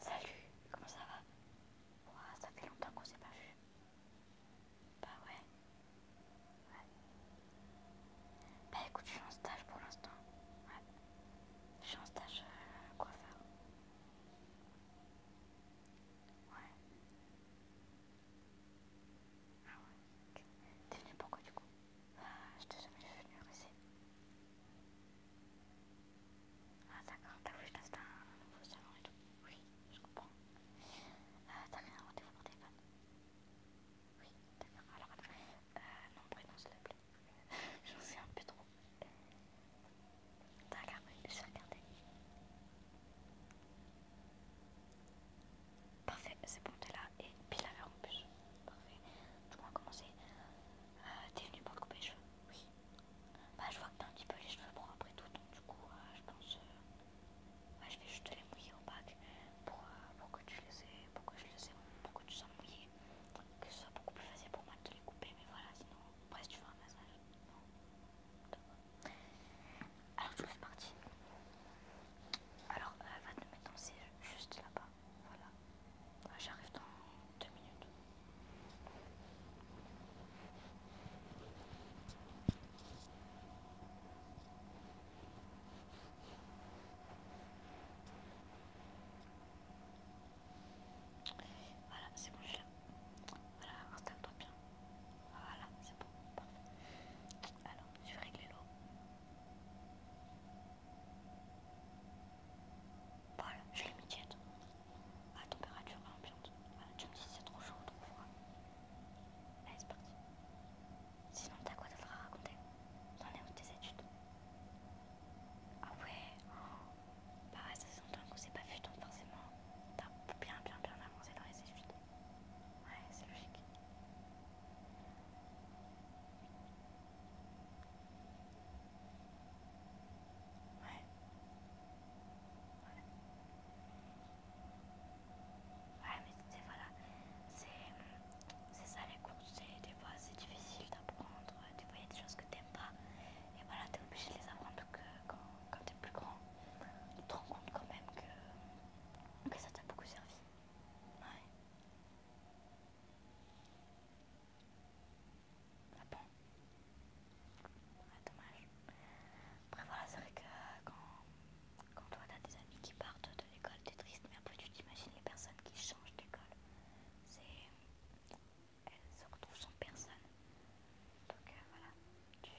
Salut, comment ça va ça fait longtemps qu'on s'est pas vu. Bah ouais. Bah écoute, je suis en stage pour l'instant. Je suis en stage euh, coiffeur. Ouais. Ah ouais. ok. T'es venu pourquoi du coup je t'ai jamais venu, venir ici. Ah d'accord, t'as voulu que je fasse un nouveau salon et tout. Oui, je comprends. t'as rien à rendez-vous téléphone Oui, d'accord. Alors non, prénom s'il te plaît. J'en sais un peu trop. T'as oui, je vais regarder. Parfait, c'est bon, t'es là et puis la verre en plus. Parfait. Du coup, on va commencer. Euh, t'es venue pour te couper les cheveux Oui. Bah, je vois que t'as un petit peu les cheveux pour après tout, donc du coup, euh, je pense. Euh, bah, je vais juste les mouiller au bac pour, que tu les aies, pour que pour que tu sois mouillée Que ce soit beaucoup plus facile pour moi de te les couper, mais voilà, sinon, après, tu vas un massage, alors je suis parti. Alors euh, va te mettre en siège juste là-bas. Voilà. Ah, j'arrive dans deux minutes. Voilà, c'est bon, je suis là. Voilà, installe-toi bien. Voilà, c'est bon, parfait. Alors, je vais régler l'eau. Voilà, je l'ai mis tiède. À température ambiante. Voilà, tu me dis si c'est trop chaud ou trop froid. Allez, c'est parti. Sinon, t'as quoi d'autre à raconter T'en es où tes études Ah ouais oh. Bah ouais, ça s'entend qu'on c'est pas vu, forcément, t'as bien bien bien avancé dans les études. Ouais, c'est logique. Ouais. Ouais. Ouais, mais c'est voilà, c'est ça les cours, des fois c'est difficile d'apprendre, des fois il y a des choses que t'aimes pas, et voilà, t'es obligé de les apprendre, que quand, t'es plus grand. Tu te rends compte quand même que, ça t'a beaucoup servi. Ouais. Ah bon ah, dommage. Après voilà, c'est vrai que quand, quand toi t'as des amis qui partent de l'école, t'es triste, mais après tu t'imagines les personnes qui changent d'école. C'est elle se retrouve sans personne. Donc euh, voilà, il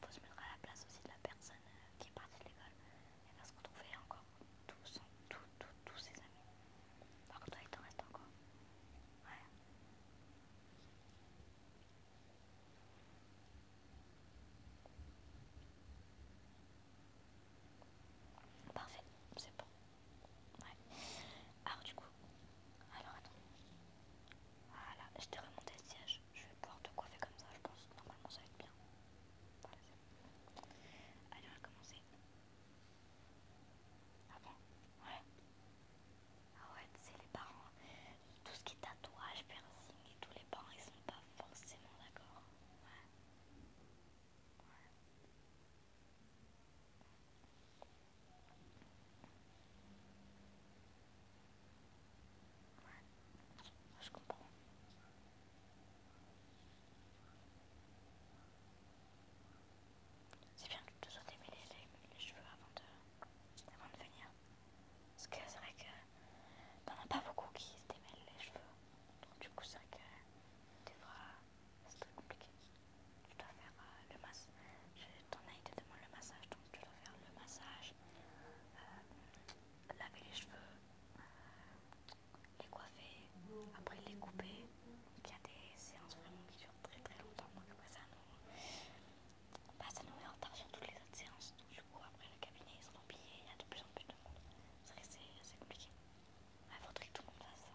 faut, se mettre à la place aussi de la personne euh, qui est partie de l'école. Elle va se retrouver encore tous, tous, tous, tous ses amis. Par toi, il t'en reste encore. ouais. Parfait, c'est bon. Ouais. Alors du coup, alors attends. Voilà, je t'ai remonté le siège. Je vais pouvoir te coiffer comme ça, je pense. Normalement, ça va être bien. Voilà, bon. Allez, on va commencer. Ah bon Ouais. Ah ouais, c'est les parents. Tout ce qui est tatouage, piercing et tous les parents, ils sont pas forcément d'accord. Ouais. Ouais je comprends. C'est bien que tu te sois démêlé les, cheveux avant de, avant de venir. Parce que c'est vrai que t'en as pas beaucoup qui se démêlent les cheveux. Donc du coup c'est vrai que tu devras c'est très compliqué. Tu dois faire euh, le massage. Ton aide te demande le massage, donc tu dois faire le massage, euh, laver les cheveux, les coiffer, après les couper. Il y a des séances vraiment qui durent très très longtemps, ça nous, bah, ça nous met en retard sur toutes les autres séances. Donc, du coup, après le cabinet ils sont remplis il y a de plus en plus de monde. C'est assez compliqué. Il bah, faudrait que tout le monde fasse ça.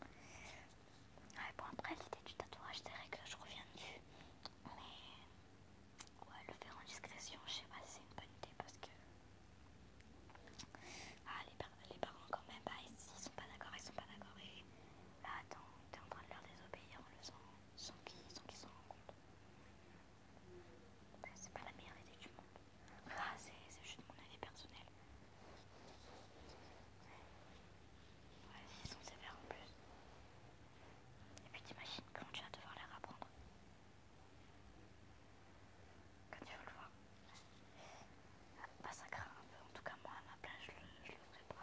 Ouais. bon, après, l'idée du tatouage, c'est vrai que je reviens dessus. Mais ouais, le faire en discrétion, je sais pas c'est une bonne idée parce que. Ah, les, parents, quand même, bah, ici ils sont pas d'accord, ils sont pas d'accord. Et là, attends, t'es en train de leur désobéir en le faisant sans qu'ils s'en rendent compte. C'est pas la meilleure idée du monde. Ah, c'est juste mon avis personnel. Ouais, ils sont sévères en plus. Et puis t'imagines quand tu vas devoir les apprendre. Quand tu veux le voir. Bah ça craint un peu, en tout cas moi à ma place je ne je le ferai pas.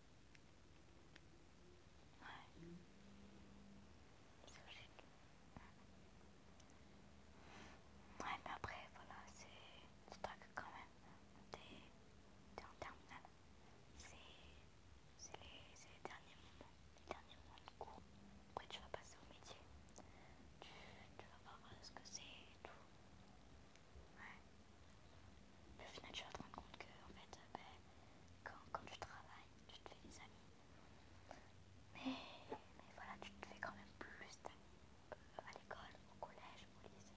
Ouais. mais après, voilà, c'est. Tu que quand même. T'es en terminale. C'est les, les derniers moments. Les derniers moments de cours. Après, tu vas passer au métier. Tu, vas voir ce que c'est et tout. Mais au final, tu vas te rendre compte que, en fait, euh, bah, quand, tu travailles, tu te fais des amis. Mais, mais voilà, tu te fais quand même plus d'amis euh, à l'école, au collège, au lycée.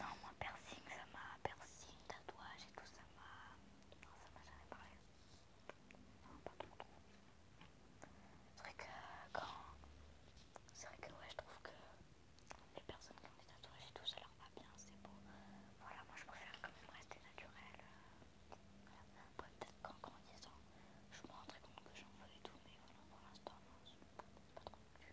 Non, moi piercing, ça m'a piercing, tatouage et tout, ça m'a... Non, ça m'a jamais parlé. Non, pas le trop. C'est vrai que euh, quand... C'est vrai que ouais, je trouve que les personnes qui ont des tatouages et tout, ça leur va bien, c'est beau. Voilà, moi je préfère quand même rester naturelle. Euh, peut-être qu'en grandissant, je me rendrai compte que j'en veux et tout, mais voilà, pour l'instant, non, suis pas trop plus.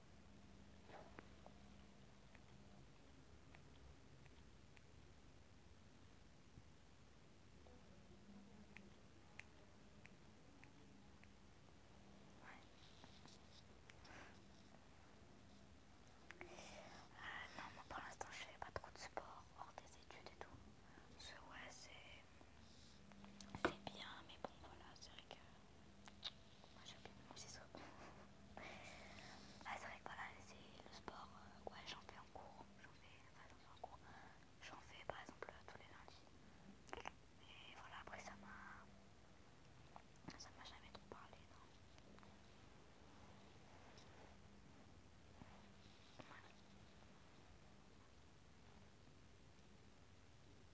Ah non, moi pour l'instant je fais pas trop de sport hors des études et tout. ce ouais c'est c'est bien, mais bon, voilà, c'est vrai que moi j'ai mon ciseau. ah, c'est vrai que voilà, c'est le sport. Euh, ouais, j'en fais en cours. J'en fais, en cours. J'en fais par exemple tous les lundis. Et voilà, après ça m'a. Ça m'a jamais trop parlé, non. Voilà.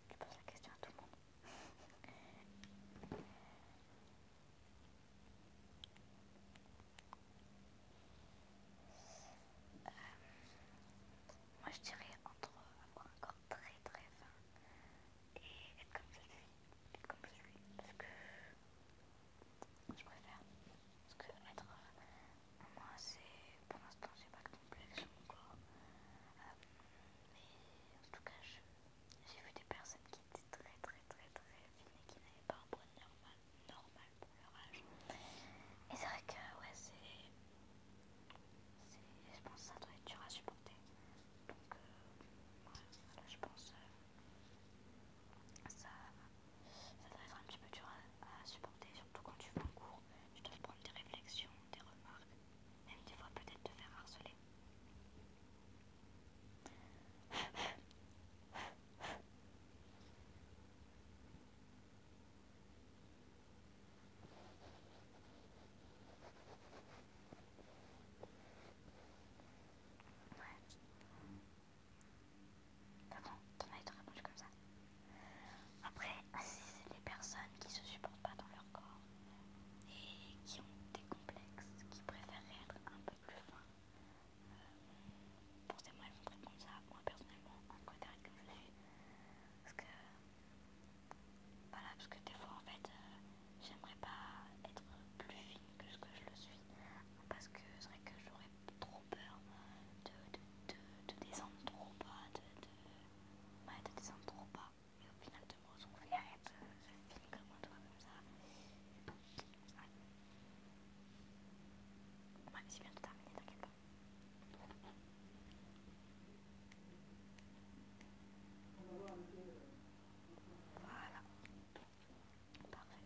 Tu poses la question à tout le monde. Euh, moi je dirais entre avoir un corps très très fin et être comme je suis, comme je suis, parce que je préfère, parce que être euh, moi c'est, pour l'instant j'ai pas euh, mais en tout cas, j'ai vu des personnes qui étaient très très très très fines qui n'avaient pas un poids normal, normal pour leur âge. Et c'est vrai que ouais, c'est... Je pense que ça doit être dur à supporter. Donc euh, je pense que euh, ça, ça doit être un petit peu dur à, supporter, surtout quand tu fais un cours, tu dois prendre des réflexions, des remarques. Même des fois peut-être te faire harceler. Ouais. bon, t'en as été répondu comme ça. Après, c'est les personnes qui se supportent pas dans leur corps et qui ont des complexes, qui préfèrent être un peu plus fins. Pensez-moi, moi, comme ça. Moi, personnellement, en comme je suis. Parce que, parce que des fois, en fait, euh, j'aimerais pas être plus fine que ce que je le suis. Parce que c'est vrai que j'aurais trop peur de, descendre trop bas, m'a de descendre trop bas. Mais au final, de me retrouver à être euh, film comme un toit, comme ça. Ouais. Ouais, c'est bientôt terminé, t'inquiète pas. Voilà. Parfait.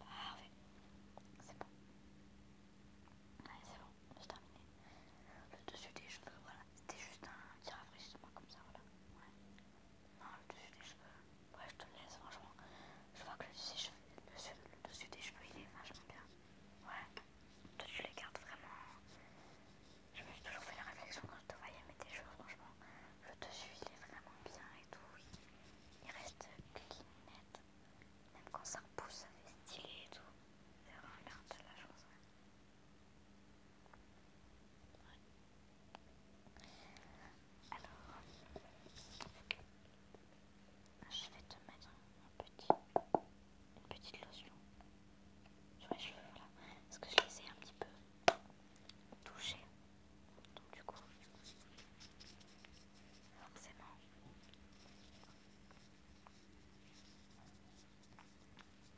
Parfait. C'est bon. c'est bon, c'est terminé. Le dessus des cheveux, voilà. C'était juste un petit rafraîchissement comme ça, voilà. Non, le dessus des cheveux. Ouais, je te laisse, franchement. Je vois que le dessus, des cheveux, le dessus, des cheveux, il est vachement bien. Ouais. tu les gardes vraiment. Je me suis toujours fait la réflexion quand je te voyais, mettre tes cheveux, franchement, le dessus il est vraiment bien et tout, il, reste clean net, même quand ça repousse ça fait stylé et tout, c'est la chose. Alors, je vais te mettre un petit, une petite lotion sur les cheveux, là, parce que je les ai un petit peu touchés. Donc du coup, forcément,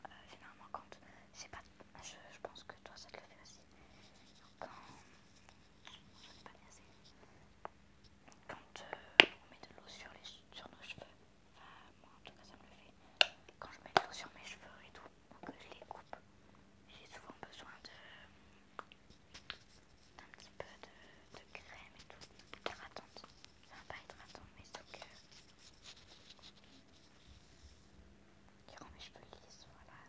euh, généralement quand j'ai pas, de, je, je pense que toi ça te le fait aussi. Quand quand euh, on met de l'eau sur, sur nos cheveux, enfin moi en tout cas ça me le fait. Quand je mets de l'eau sur mes cheveux et tout, donc que je les coupe. J'ai souvent besoin d'un petit peu de, crème et tout, hydratante. Enfin, pas être attente, mais surtout que. qui rend mes cheveux lisses, voilà.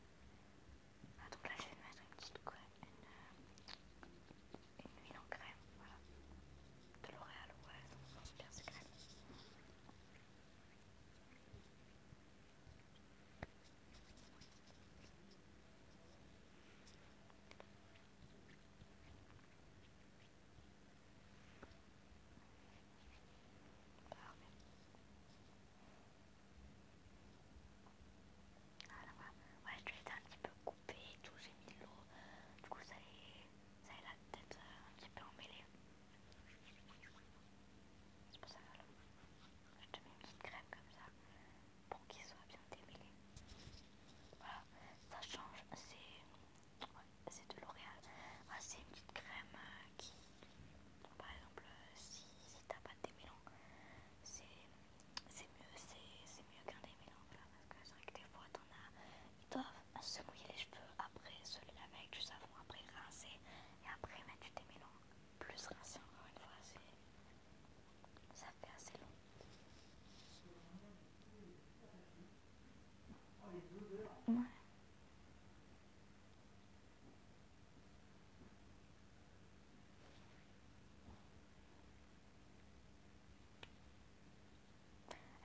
Ah, donc là, je vais mettre une petite quoi, une, huile en crème, voilà. De L'Oréal, ouais, super crème. Ah là je l'ai un petit peu coupé tout, j'ai mis de l'eau, du coup ça est, ça peut la tête euh, un petit peu emmêlé. C'est je te mets une petite crème comme ça pour qu'il soit bien démêlé. Voilà, ça change. C'est de L'Oréal. Ah, c'est une petite crème euh, qui, par exemple, euh, si, t'as pas de démêlant, c'est mieux, qu'un démêlant. parce que c'est vrai que des fois, t'en as, ils doivent se mouiller les cheveux après, se les laver avec du savon, après rincer, et après t'es mis long plus rassiant encore une fois ça fait assez long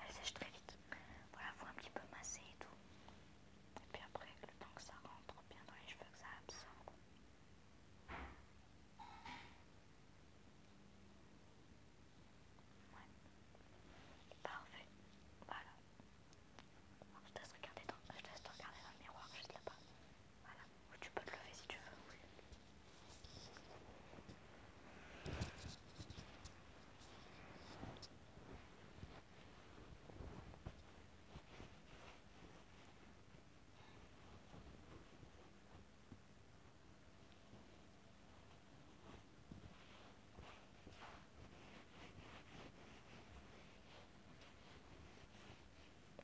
Elle sèche très vite. Voilà, faut un petit peu masser et tout. Et puis après, le temps que ça rentre bien dans les cheveux, que ça absorbe. Ouais. Parfait. Voilà. je te laisse regarder dans, te regarder dans le miroir juste là-bas. Voilà. Ou tu peux te lever si tu veux.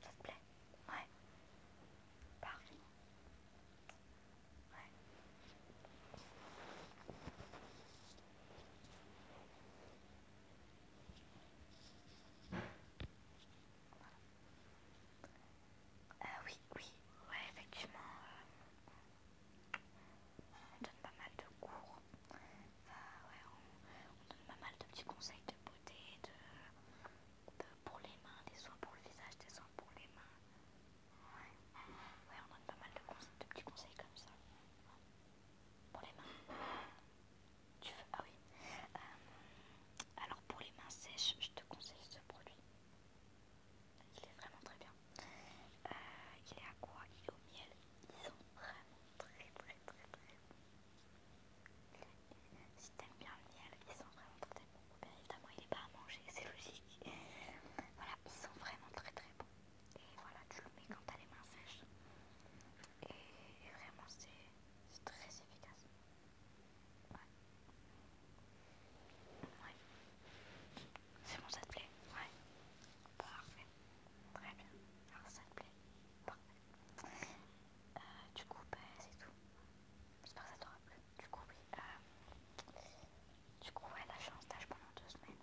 Ça te plaît Ouais. Parfait. Ouais. Euh, oui, oui, ouais, effectivement, euh, on donne pas mal de cours, on, donne pas mal de petits conseils de beauté, de, pour les mains, des soins pour le visage, des soins pour les mains. Ouais, on donne pas mal de, de petits conseils comme ça. Pour les mains. Tu veux Ah oui. Euh, alors pour les mains sèches, je te conseille ce produit. Il est vraiment très bien. Euh, il est à quoi Il est au miel. Ils sont vraiment très très très très bons. Si t'aimes bien le miel, ils sont vraiment très très bons. évidemment, il est pas à manger, c'est logique. voilà, ils sont vraiment très très bons. Et voilà, tu le mets quand t'as les mains sèches. Et vraiment, c'est très efficace. Ouais. C'est bon, ça te plaît Ouais. Parfait. Très bien. ça te plaît Parfait. du euh, coup, euh, c'est tout. J'espère que ça t'aura plu. Du coup, oui. Euh, du coup, ouais, la chance d'âge pendant deux semaines.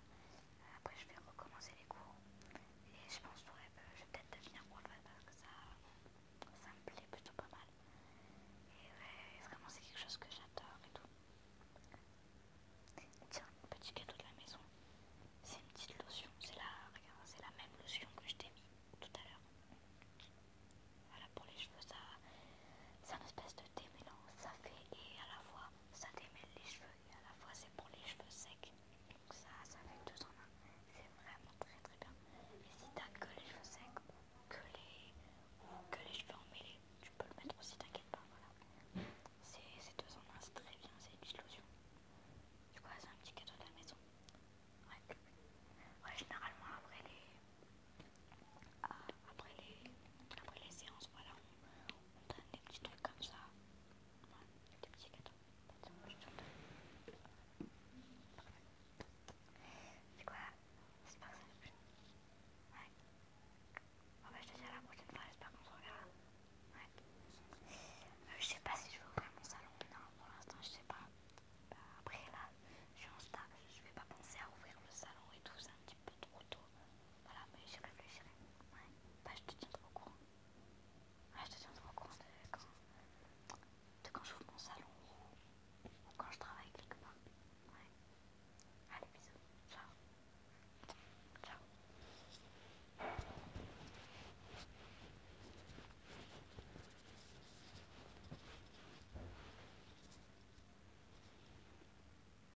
Après, je vais recommencer les cours et je pense que je vais peut-être devenir prof parce que ça, me plaît plutôt pas mal. Et vraiment, c'est quelque chose que j'adore et tout. Tiens, petit cadeau de la maison. C'est une petite lotion. C'est la, c'est la même lotion que je t'ai mis tout à l'heure. Voilà pour les cheveux, ça, c'est un espèce de démêlant. Ça fait et à la fois ça démêle les cheveux et à la fois c'est pour les cheveux secs. Donc ça, ça fait deux en un. C'est vraiment très très bien. Et si t'as que les cheveux secs ou que les, ou que les cheveux emmêlés, tu peux le mettre aussi, t'inquiète pas. Voilà. C'est deux en un, c'est très bien, c'est une lotion. Du coup, c'est un petit cadeau de la maison. Ouais. généralement après les, ah, après les, après les séances, voilà, on donne des petits trucs comme ça. Ouais, des petits gâteaux. C'est quoi J'espère que ça vous plus. Ouais. bah je te dis à la prochaine fois, j'espère qu'on se reverra. Ouais. Euh, je sais pas si je vais ouvrir mon salon, non, pour l'instant je sais pas. Bah, après là, je suis en stage, je vais pas penser à ouvrir le salon et tout ça petit trop tôt. Voilà, mais j'y réfléchirai. Ouais. Bah, je te trop au courant. Ouais, je te trop au courant quand, de quand j'ouvre mon salon ou quand je travaille quelque part. Ouais. Allez, bisous. Ciao. Ciao.